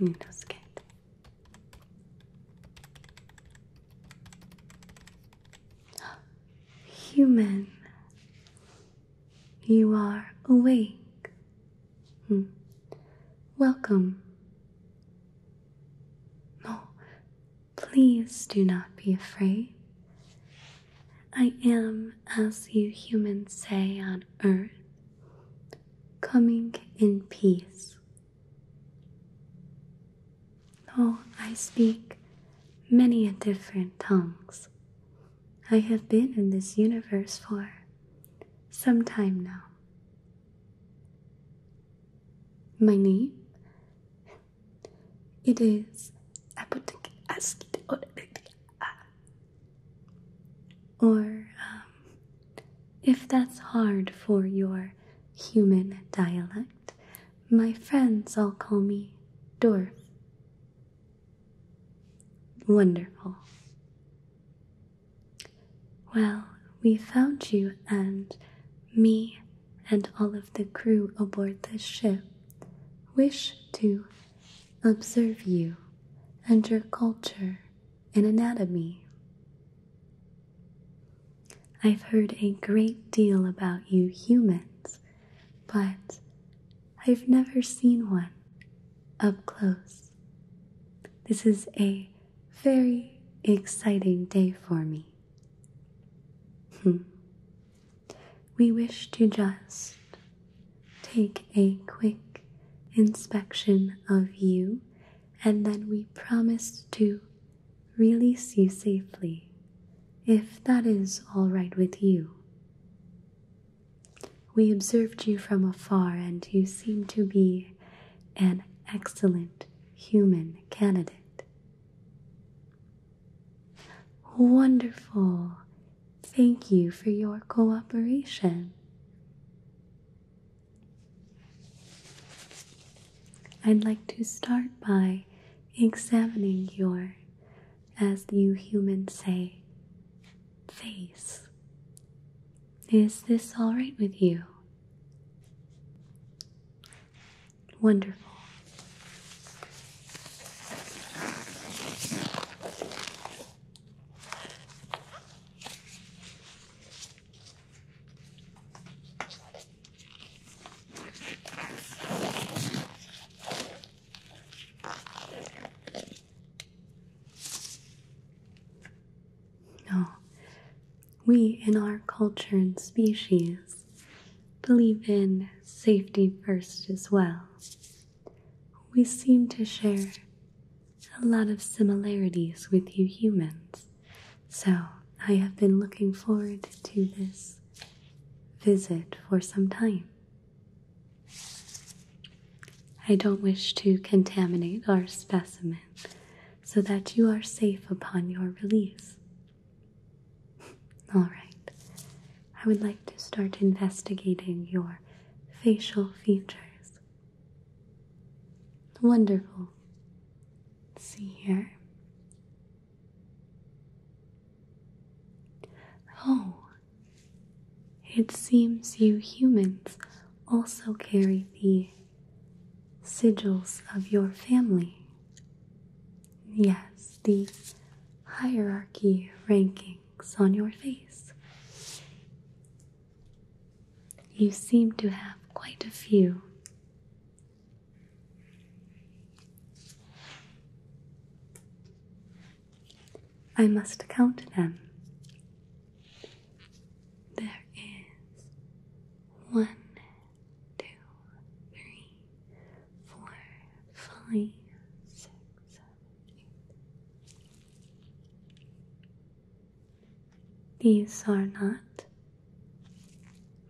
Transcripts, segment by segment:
Nos queda. Human, you are awake. Hmm. Welcome. Oh, please do not be afraid. I am, as you humans say on earth, coming in peace. Oh, I speak many different tongues. I have been in this universe for some time now. My name? It is or um, if that's hard for your human dialect, my friends all call me Dorf. Wonderful. Well, we found you and me and all of the crew aboard this ship wish to observe you and your culture and anatomy. I've heard a great deal about you humans, but I've never seen one up close. This is a very exciting day for me. Hmm. we wish to just take a quick inspection of you, and then we promise to release you safely, if that is all right with you. We observed you from afar, and you seem to be an excellent human candidate. Wonderful. Thank you for your cooperation. I'd like to start by examining your, as you humans say, face. Is this all right with you? Wonderful. No, we in our culture and species believe in safety first as well we seem to share a lot of similarities with you humans, so I have been looking forward to this visit for some time. I don't wish to contaminate our specimen so that you are safe upon your release. All right, I would like to start investigating your facial features. Wonderful. see here. Oh, it seems you humans also carry the sigils of your family. Yes, the hierarchy ranking on your face. You seem to have quite a few. I must count them. There is one, two, three, four, five, six, these are not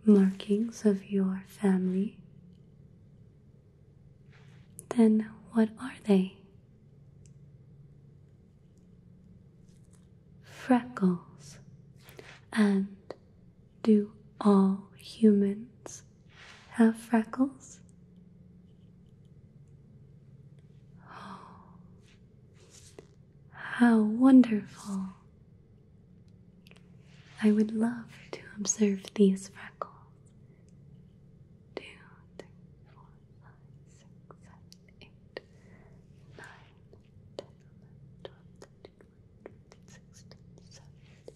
markings of your family. Then what are they? Freckles. And do all humans have freckles? Oh, how wonderful! I would love to observe these freckles. Two, three, four, five, six, seven, eight, nine, ten, eleven, twelve, thirteen, fourteen, fifteen, sixteen, seventeen,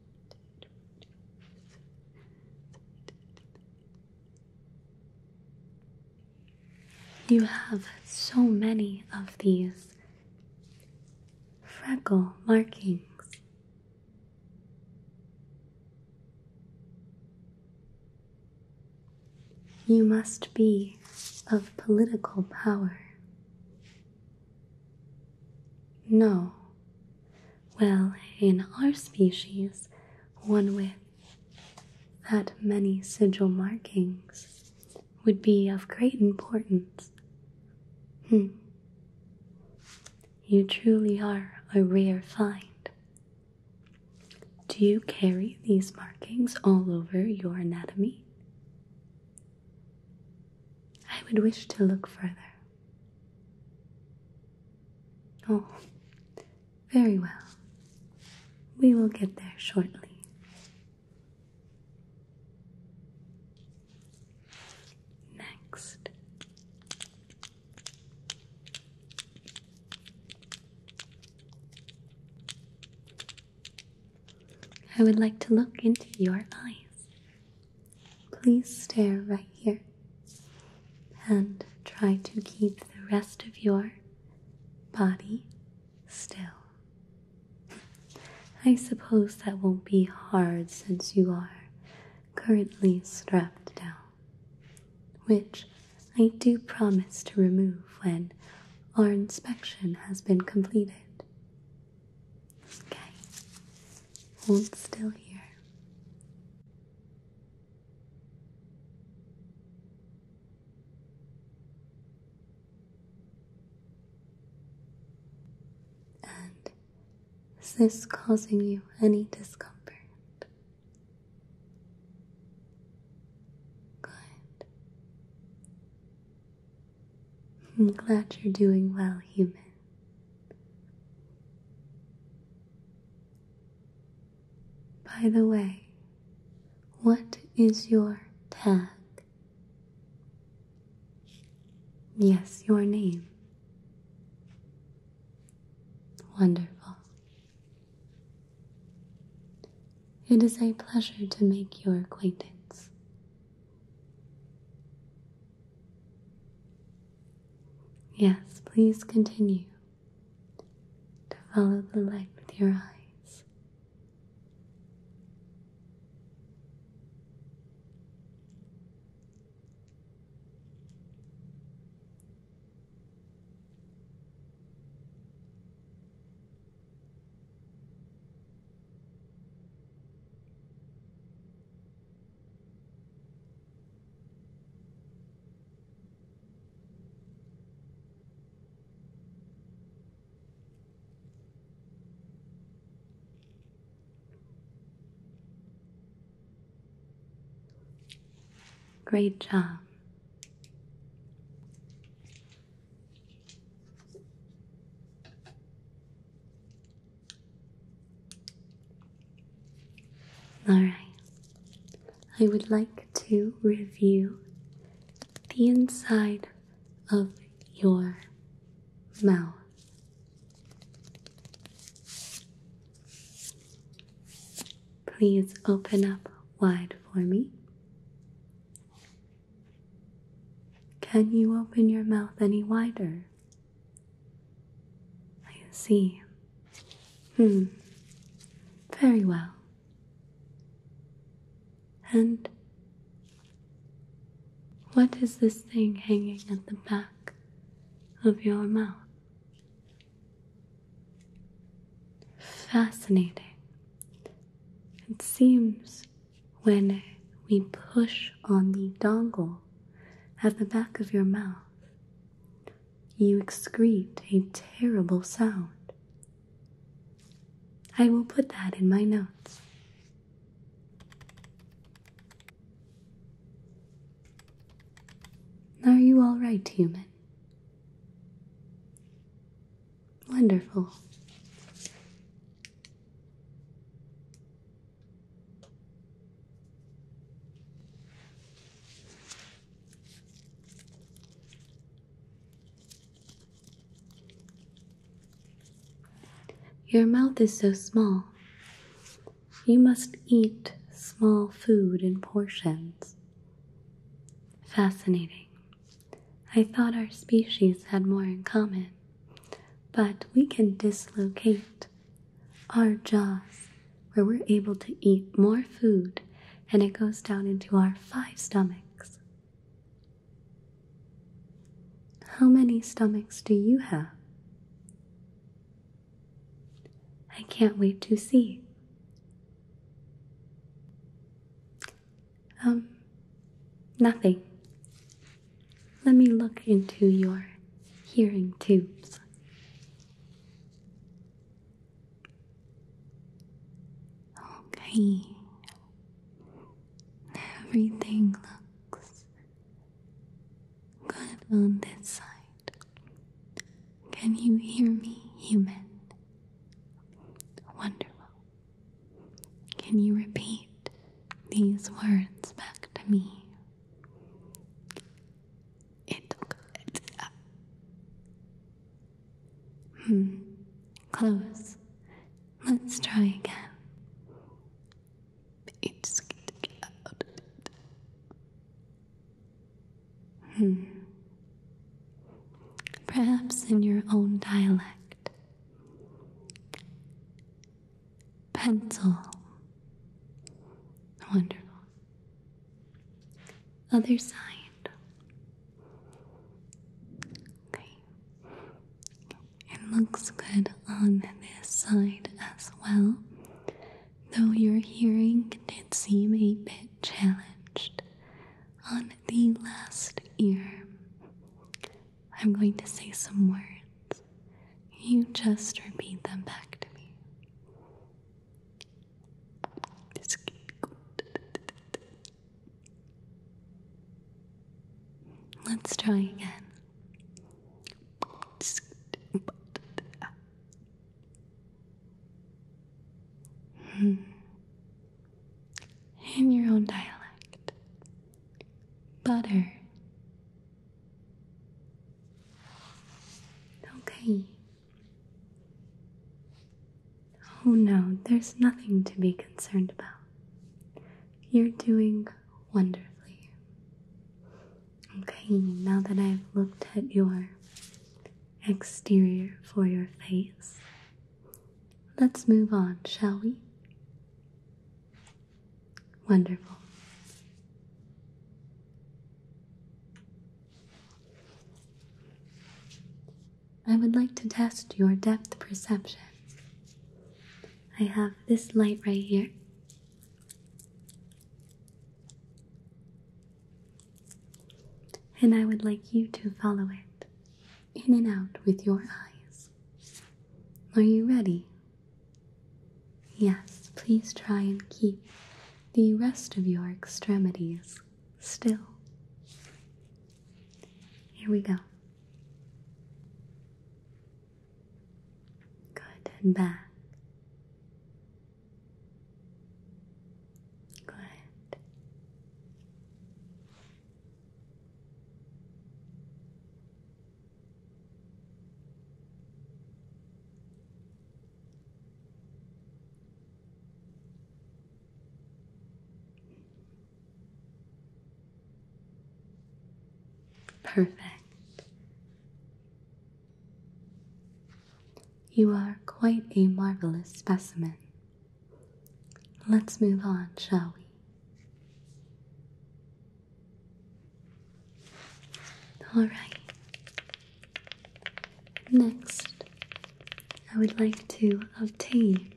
You have so many of these freckle markings. You must be of political power. No, well, in our species, one with that many sigil markings would be of great importance. Hmm. You truly are a rare find. Do you carry these markings all over your anatomy? I would wish to look further. Oh, very well. We will get there shortly. Next. I would like to look into your eyes. Please stare right here and try to keep the rest of your body still. I suppose that won't be hard since you are currently strapped down, which I do promise to remove when our inspection has been completed. Okay, Hold still here. And is this causing you any discomfort? Good. I'm glad you're doing well, human. By the way, what is your tag? Yes, your name. Wonderful. It is a pleasure to make your acquaintance. Yes, please continue to follow the light with your eyes. Great job. Alright, I would like to review the inside of your mouth. Please open up wide for me. Can you open your mouth any wider? I see. Hmm. Very well. And what is this thing hanging at the back of your mouth? Fascinating. It seems when we push on the dongle at the back of your mouth, you excrete a terrible sound. I will put that in my notes. Are you all right, human? Wonderful. Your mouth is so small. You must eat small food in portions. Fascinating. I thought our species had more in common. But we can dislocate our jaws where we're able to eat more food and it goes down into our five stomachs. How many stomachs do you have? I can't wait to see. Um, nothing. Let me look into your hearing tubes. Okay. Everything looks good on this side. Can you hear me, human? Wonderful. Can you repeat these words back to me? It up. Hmm. Close. Let's try again. It's out. Hmm. Perhaps in your own dialect pencil. Wonderful. Other side. Okay. It looks good on this side as well, though your hearing did seem a bit challenged on the last ear. I'm going to say some words. You just repeat them back to me. Let's try again. Hmm in your own dialect. Butter. Okay. Oh no, there's nothing to be concerned about. You're doing wonderfully. Okay, now that I've looked at your exterior for your face, Let's move on, shall we? Wonderful. I would like to test your depth perception. I have this light right here. And I would like you to follow it in and out with your eyes. Are you ready? Yes, please try and keep the rest of your extremities still. Here we go. Good back. Good. Perfect. You are quite a marvelous specimen. Let's move on, shall we? All right. Next, I would like to obtain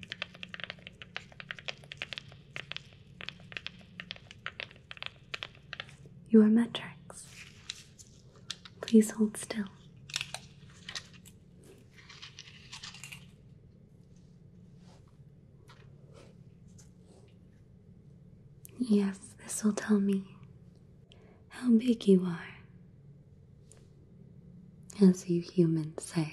your metrics. Please hold still. Yes, this will tell me how big you are, as you humans say.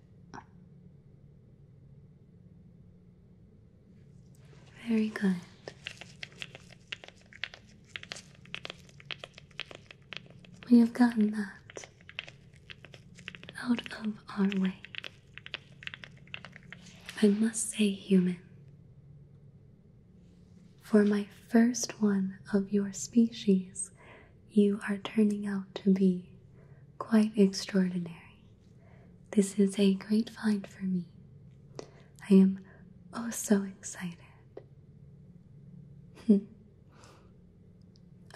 Very good. We have gotten that out of our way. I must say, human, for my first one of your species you are turning out to be quite extraordinary. This is a great find for me. I am oh so excited.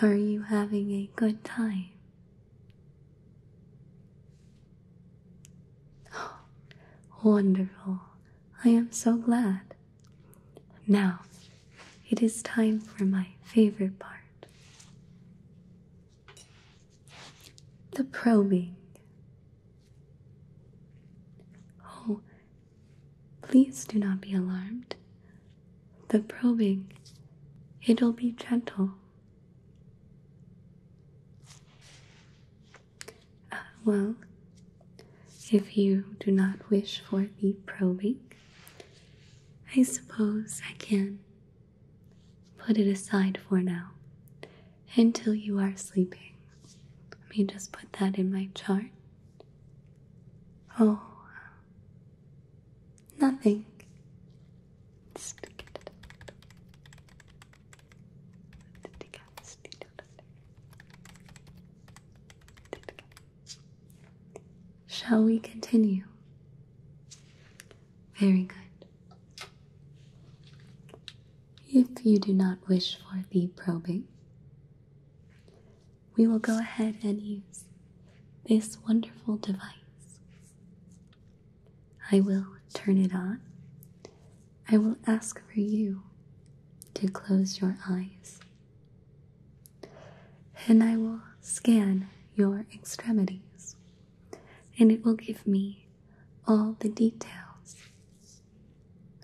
Are you having a good time? Oh, wonderful. I am so glad. Now it is time for my favorite part the probing. Oh, please do not be alarmed. The probing, it'll be gentle. Uh, well, if you do not wish for the probing, I suppose I can put it aside for now until you are sleeping. Let me just put that in my chart. Oh, nothing. Shall we continue? Very good. If you do not wish for the probing, we will go ahead and use this wonderful device. I will turn it on. I will ask for you to close your eyes and I will scan your extremities, and it will give me all the details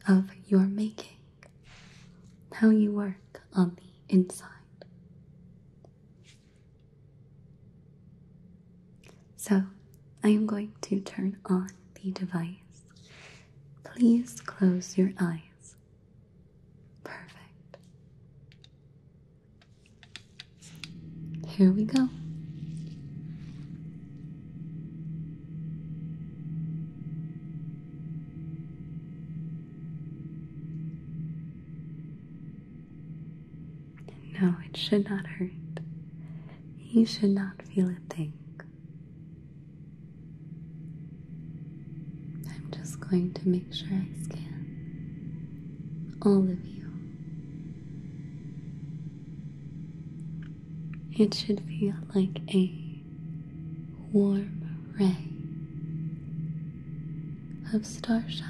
of your making, how you work on the inside. So, I am going to turn on the device. Please close your eyes. Perfect. Here we go. no, it should not hurt. You should not feel a thing. I'm just going to make sure I scan all of you. It should feel like a warm ray of starshine.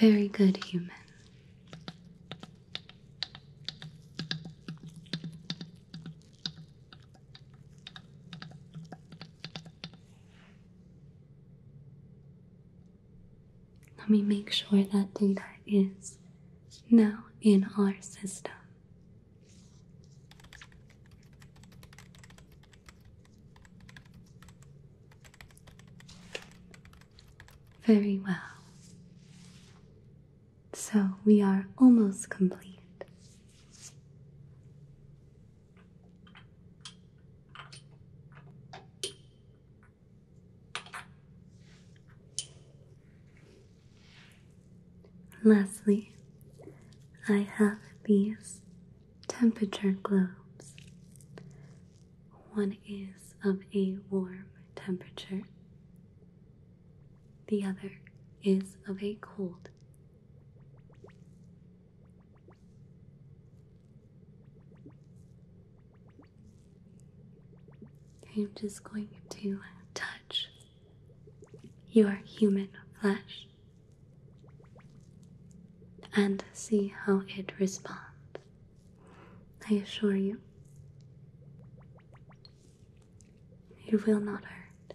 Very good, human. Let me make sure that data is now in our system. Very well. So we are almost complete. Lastly, I have these temperature globes. One is of a warm temperature, the other is of a cold. I'm just going to touch your human flesh and see how it responds. I assure you, it will not hurt.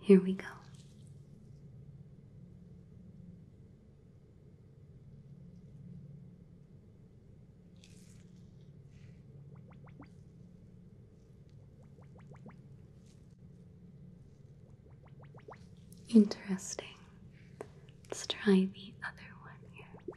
Here we go. Interesting. Let's try the other one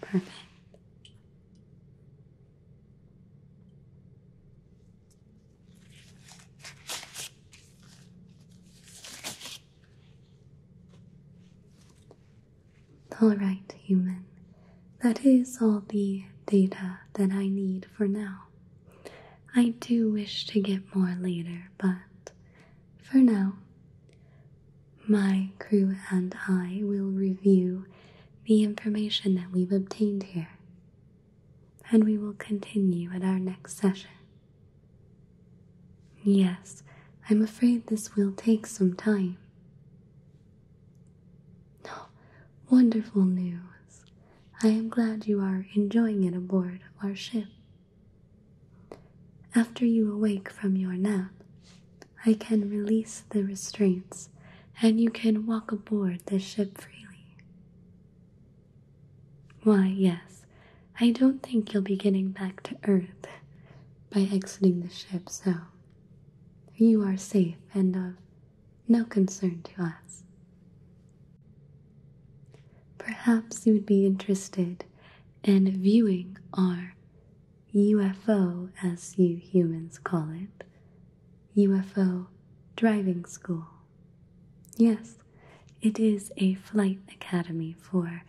Perfect. All right, human. That is all the data that I need for now. I do wish to get more later, but for now, my crew and I will review the information that we've obtained here, and we will continue at our next session. Yes, I'm afraid this will take some time. Oh, wonderful news! I am glad you are enjoying it aboard our ship. After you awake from your nap, I can release the restraints and you can walk aboard the ship freely. Why, yes, I don't think you'll be getting back to Earth by exiting the ship, so you are safe and of no concern to us. Perhaps you would be interested in viewing our UFO, as you humans call it, UFO driving school. Yes, it is a flight academy for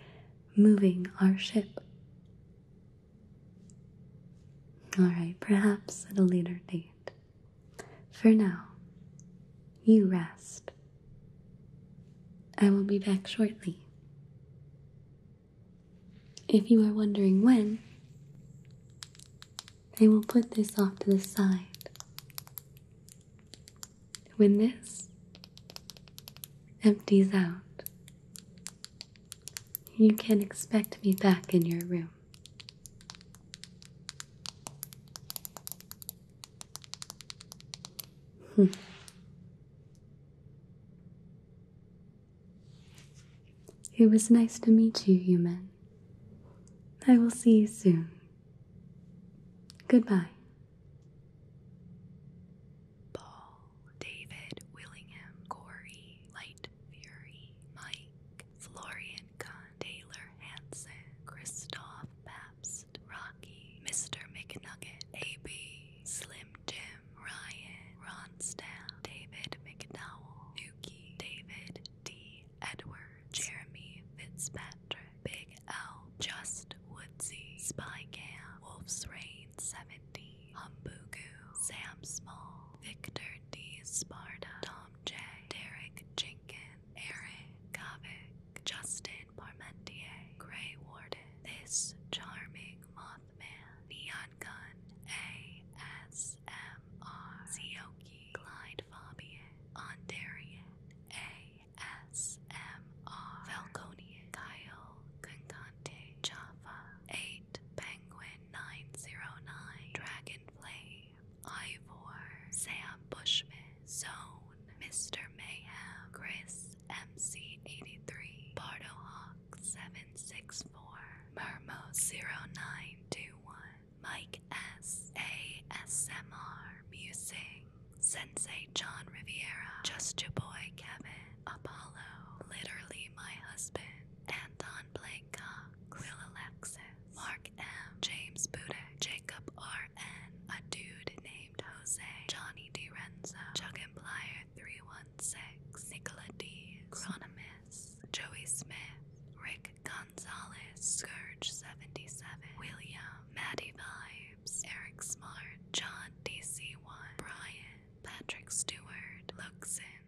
moving our ship. Alright, perhaps at a later date. For now, you rest. I will be back shortly. If you are wondering when, I will put this off to the side. When this empties out, you can expect me back in your room. Hmm. It was nice to meet you, human. I will see you soon. Goodbye. Paul, David, Willingham, Corey, Light Fury, Mike, Florian Kahn, Taylor Hansen, Christoph Bass. Rocky, Mr. McNugget, AB, Slim Jim, Ryan, Ron Ronstadt, David McDowell, Nuki, David D. Edward, Jeremy Fitzpatrick, Big L, Just Woodsy, Spy Cam, Wolf's Rain 70, Humbugu, Sam Small, Victor D. Sparta, Tom J, Derek Jenkins, Eric Kavik, Justin Parmentier, Grey Ward, This Charming Mothman, Neon Gun, ASMR, Sioki, Clyde Fabian, Ondarian, ASMR, Falconian, Kyle Concante, Java, 8 Penguin 909, Dragonfly. Ivor, Sam Bushman, Zone, Mr. Mayhem, Chris MC83, BardoHawk764, Mermo0921, Mike S A S M R ASMR Sensei John Riviera, Just Your Boy Kevin, Apollo, Literally My Husband, Anton Blake Cox, Will Alexis, Mark M, James Budek, Jacob R N, a dude named Jose, Johnny DiRenzo, Chuck and Plier 316, Nicola D, Chronomus, Joey Smith, Rick Gonzalez, Scourge 77, William, Maddie Vibes, Eric Smart, John DC1, Brian, Patrick Stewart, Luxon.